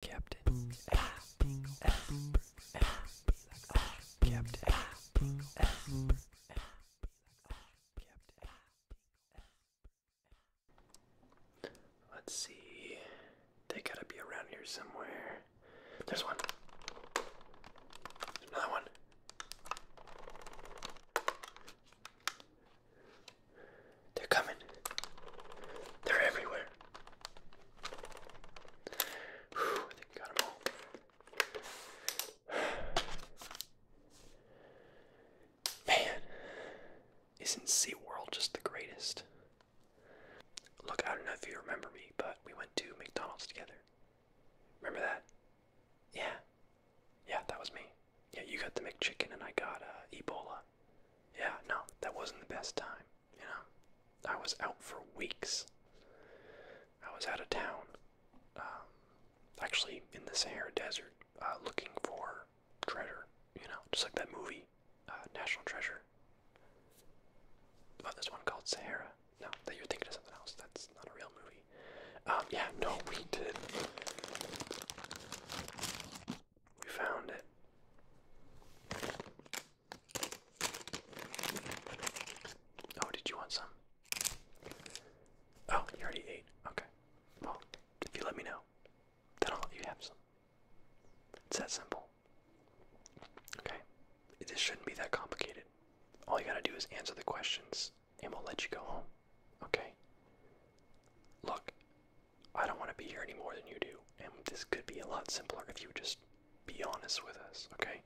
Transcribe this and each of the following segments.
Captain Let's see. They gotta be around here somewhere. There's one. another one. They're coming. They're everywhere. Man, isn't SeaWorld just the greatest? Look, I don't know if you remember me, but we went to McDonald's together. Remember that? Yeah. Yeah, that was me. Yeah, you got the McChicken and I got uh, Ebola. Yeah, no, that wasn't the best time. You know, I was out for weeks. I was out of town, um, actually in the Sahara Desert, uh, looking for treasure. You know, just like that movie, uh, National Treasure. About oh, this one called Sahara. No, that you're thinking of something else. That's not a real movie. Um, yeah, no, we did. We found it. Oh, did you want some? Oh, you already ate. Okay. Well, if you let me know, then I'll you have some. It's that simple. Okay? This shouldn't be that complicated. All you gotta do is answer the questions, and we'll let you go home. Okay? Look, I don't want to be here any more than you do, and this could be a lot simpler if you just be honest with us, okay?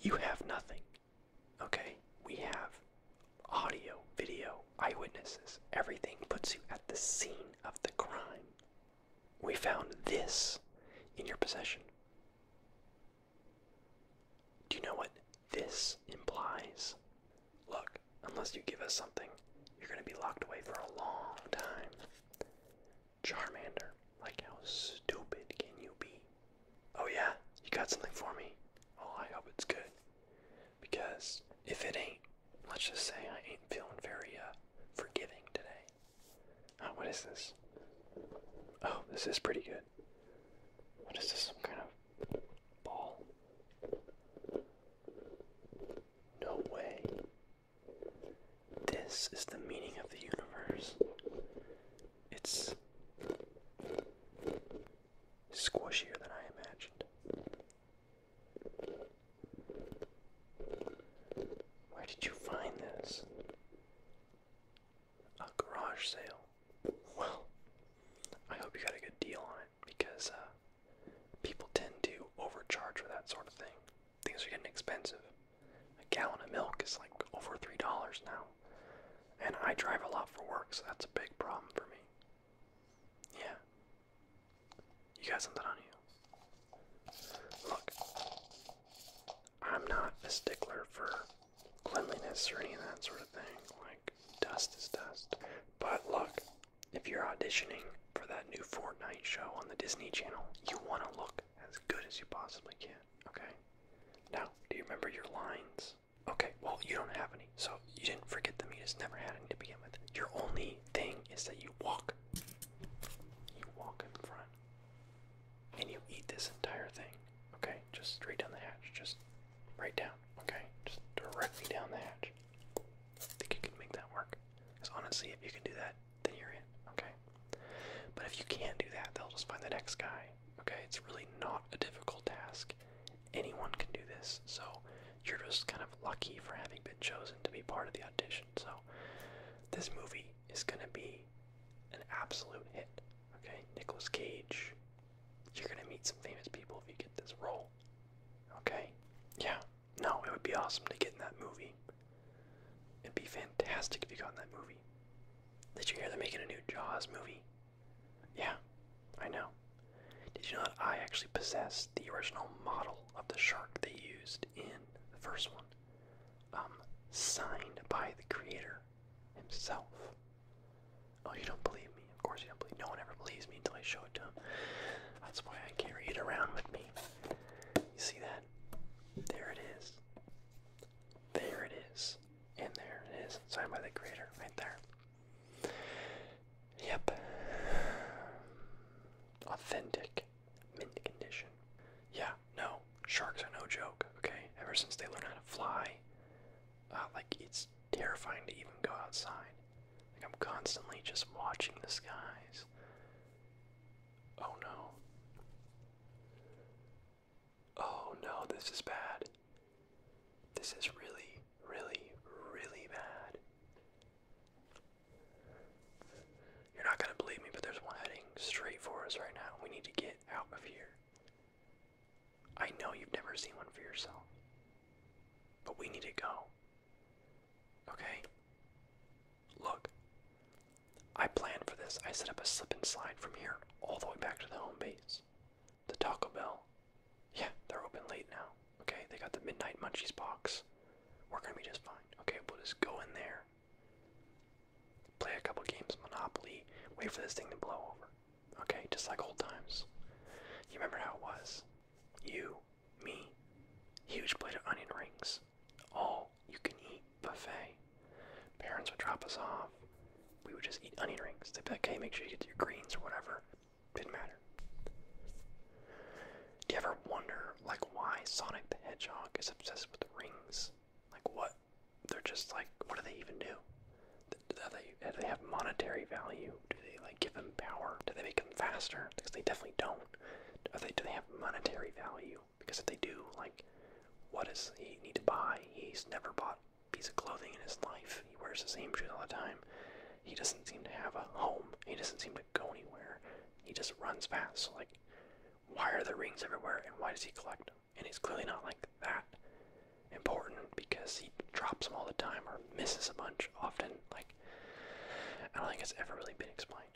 You have nothing, okay? We have audio, video, eyewitnesses, everything puts you at the scene of the crime. We found this in your possession. Do you know what this implies? Look, Unless you give us something, you're going to be locked away for a long time. Charmander, like how stupid can you be? Oh, yeah, you got something for me. Oh, I hope it's good. Because if it ain't, let's just say I ain't feeling very uh, forgiving today. Uh, what is this? Oh, this is pretty good. What is this? Some kind of ball? No way. This is the meaning of the universe. It's squishier than I imagined. Where did you find this? A garage sale. Well, I hope you got a good deal on it because uh, People tend to overcharge for that sort of thing. Things are getting expensive. A gallon of milk is like over $3 now. And I drive a lot for work, so that's a big problem for me. Yeah. You got something on you. Look, I'm not a stickler for cleanliness or any of that sort of thing. Like, dust is dust. But look, if you're auditioning for that new Fortnite show on the Disney Channel, you want to look as good as you possibly can, okay? Now, do you remember your lines? Okay, well, you don't have any, so you didn't forget them. You just never had any to begin with. Your only thing is that you walk. You walk in front. And you eat this entire thing, okay? Just straight down the hatch. Just right down, okay? Just directly down the hatch think you can make that work. Because honestly, if you can do that, then you're in, okay? But if you can't do that, they'll just find the next guy, okay? It's really not a difficult task. Anyone can do this, so you're just kind of lucky for having been chosen to be part of the audition. So this movie is gonna be an absolute hit, okay? Nicolas Cage, you're gonna meet some famous people if you get this role, okay? Yeah, no, it would be awesome to get in that movie. It'd be fantastic if you got in that movie. Did you hear they're making a new Jaws movie? Yeah, I know. Did you know that I actually possess the original model of the shark they used in the first one? Um, signed by the creator himself. Oh, you don't believe me? Of course you don't believe. No one ever believes me until I show it to him. That's why I carry it around with me. You see that? There it is. There it is. And there it is. Signed by the creator, right there. Yep. Authentic mint condition. Yeah, no. Sharks are no joke, okay? Ever since they learned how to fly, uh, like, it's terrifying to even go outside. Like I'm constantly just watching the skies. Oh no. Oh no, this is bad. This is really, really, really bad. You're not gonna believe me, but there's one heading straight for us right now. We need to get out of here. I know you've never seen one for yourself, but we need to go. Okay? Look, I planned for this. I set up a slip and slide from here all the way back to the home base. The Taco Bell. Yeah, they're open late now. Okay, they got the Midnight Munchies box. We're gonna be just fine. Okay, we'll just go in there, play a couple games of Monopoly, wait for this thing to blow over. Okay, just like old times. You remember how it was? You me. Huge plate of onion rings. All you can eat buffet. Parents would drop us off. We would just eat onion rings. They'd be like, hey, make sure you get your greens or whatever. Didn't matter. Do you ever wonder, like, why Sonic the Hedgehog is obsessed with rings? Like, what? They're just like, what do they even do? Are they, do they have monetary value? do? Do they like give them power? Do they make them faster? Because they definitely don't. Are they, do they have monetary value? Because if they do, like, what does he need to buy? He's never bought a piece of clothing in his life. He wears the same shoes all the time. He doesn't seem to have a home. He doesn't seem to go anywhere. He just runs fast. So, like, why are the rings everywhere and why does he collect them? And he's clearly not like that important because he drops them all the time or misses a bunch often. Like, I don't think it's ever really been explained.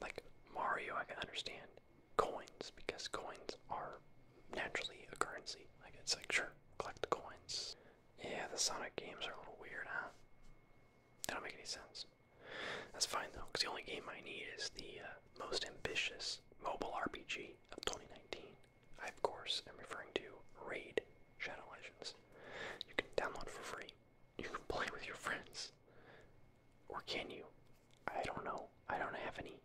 Like Mario, I can understand coins because coins are naturally a currency. Like it's like sure, collect the coins. Yeah, the Sonic games are a little weird, huh? don't make any sense. That's fine though, because the only game I need is the uh, most ambitious mobile RPG of 2019. I, of course, am referring to Raid Shadow Legends. You can download for free you can play with your friends. Or can you? I don't know. I don't have any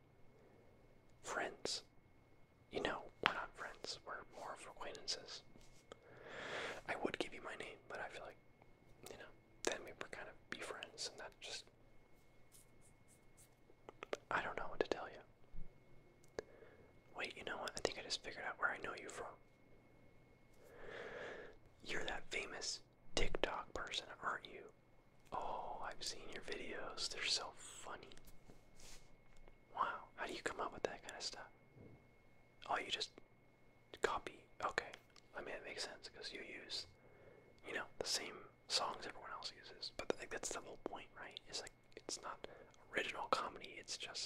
friends. You know, we're not friends. We're more of acquaintances. I would give you my name, but I feel like, you know, then we would kind of be friends, and that just. I don't know what to tell you. Wait, you know what? I think I just figured out where I know you from. You're that famous TikTok person, aren't you? Oh, I've seen your videos. They're so funny. Wow, how do you come up with that kind of stuff? Oh, you just copy. Okay, I mean, it makes sense because you use, you know, the same songs everyone else uses. But like, that's the whole point, right? It's like it's not original comedy. It's just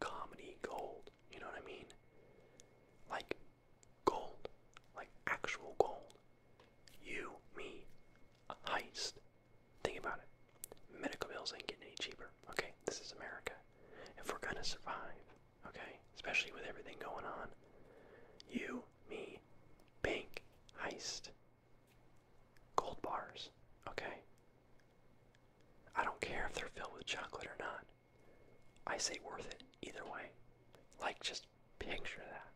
comedy gold. You know what I mean? Like gold, like actual gold. You, me, heist. Think about it. Medical bills ain't getting any cheaper. Okay, this is America. If we're gonna survive, okay, especially with everything going on, you, me, bank heist, gold bars, okay, I don't care if they're filled with chocolate or not. I say worth it either way. Like, just picture that.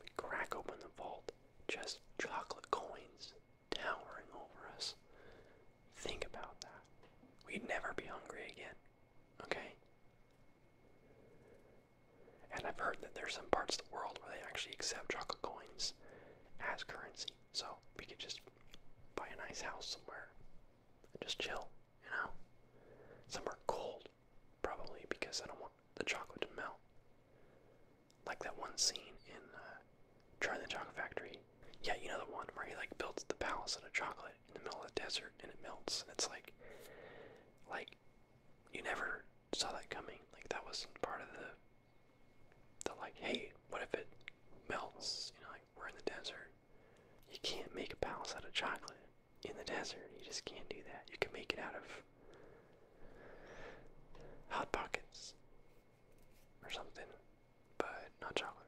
we Crack open the vault, just chocolate coins towering over us. Think about that. We'd never be hungry again, okay? And I've heard that there's some parts of the world where they actually accept chocolate coins as currency. So we could just buy a nice house somewhere and just chill, you know? Somewhere cold, probably because I don't want the chocolate to melt. Like that one scene in uh, Charlie the Chocolate Factory. Yeah, you know the one where he like builds the palace out of chocolate in the middle of the desert and it melts and it's like, like, you never saw that coming. Like that wasn't part of the they're like, hey, what if it melts? You know, like we're in the desert. You can't make a palace out of chocolate in the desert. You just can't do that. You can make it out of hot pockets or something, but not chocolate.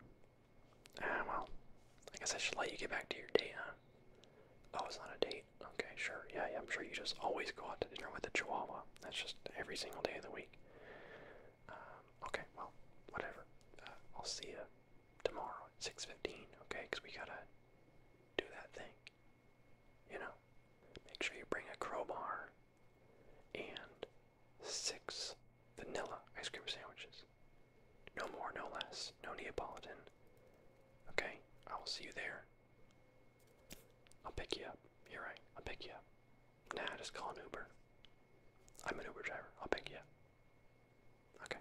Ah, well, I guess I should let you get back to your date, huh? Oh, it's not a date. Okay, sure. Yeah, yeah, I'm sure you just always go out to dinner with a chihuahua. That's just every single day of the week. Um, okay, well, whatever. Uh, I'll see you tomorrow at 6.15, okay? Because we gotta do that thing, you know? Make sure you bring a crowbar and six vanilla ice cream sandwiches. No more, no less. No Neapolitan. Okay, I will see you there. I'll pick you up. You're right, I'll pick you up. Nah, just call an Uber. I'm an Uber driver. I'll pick you Okay.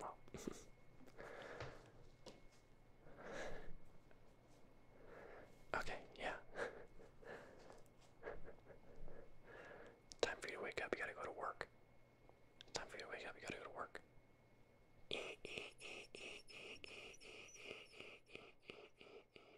Well. okay, yeah. Time for you to wake up. You gotta go to work. Time for you to wake up. You gotta go to work.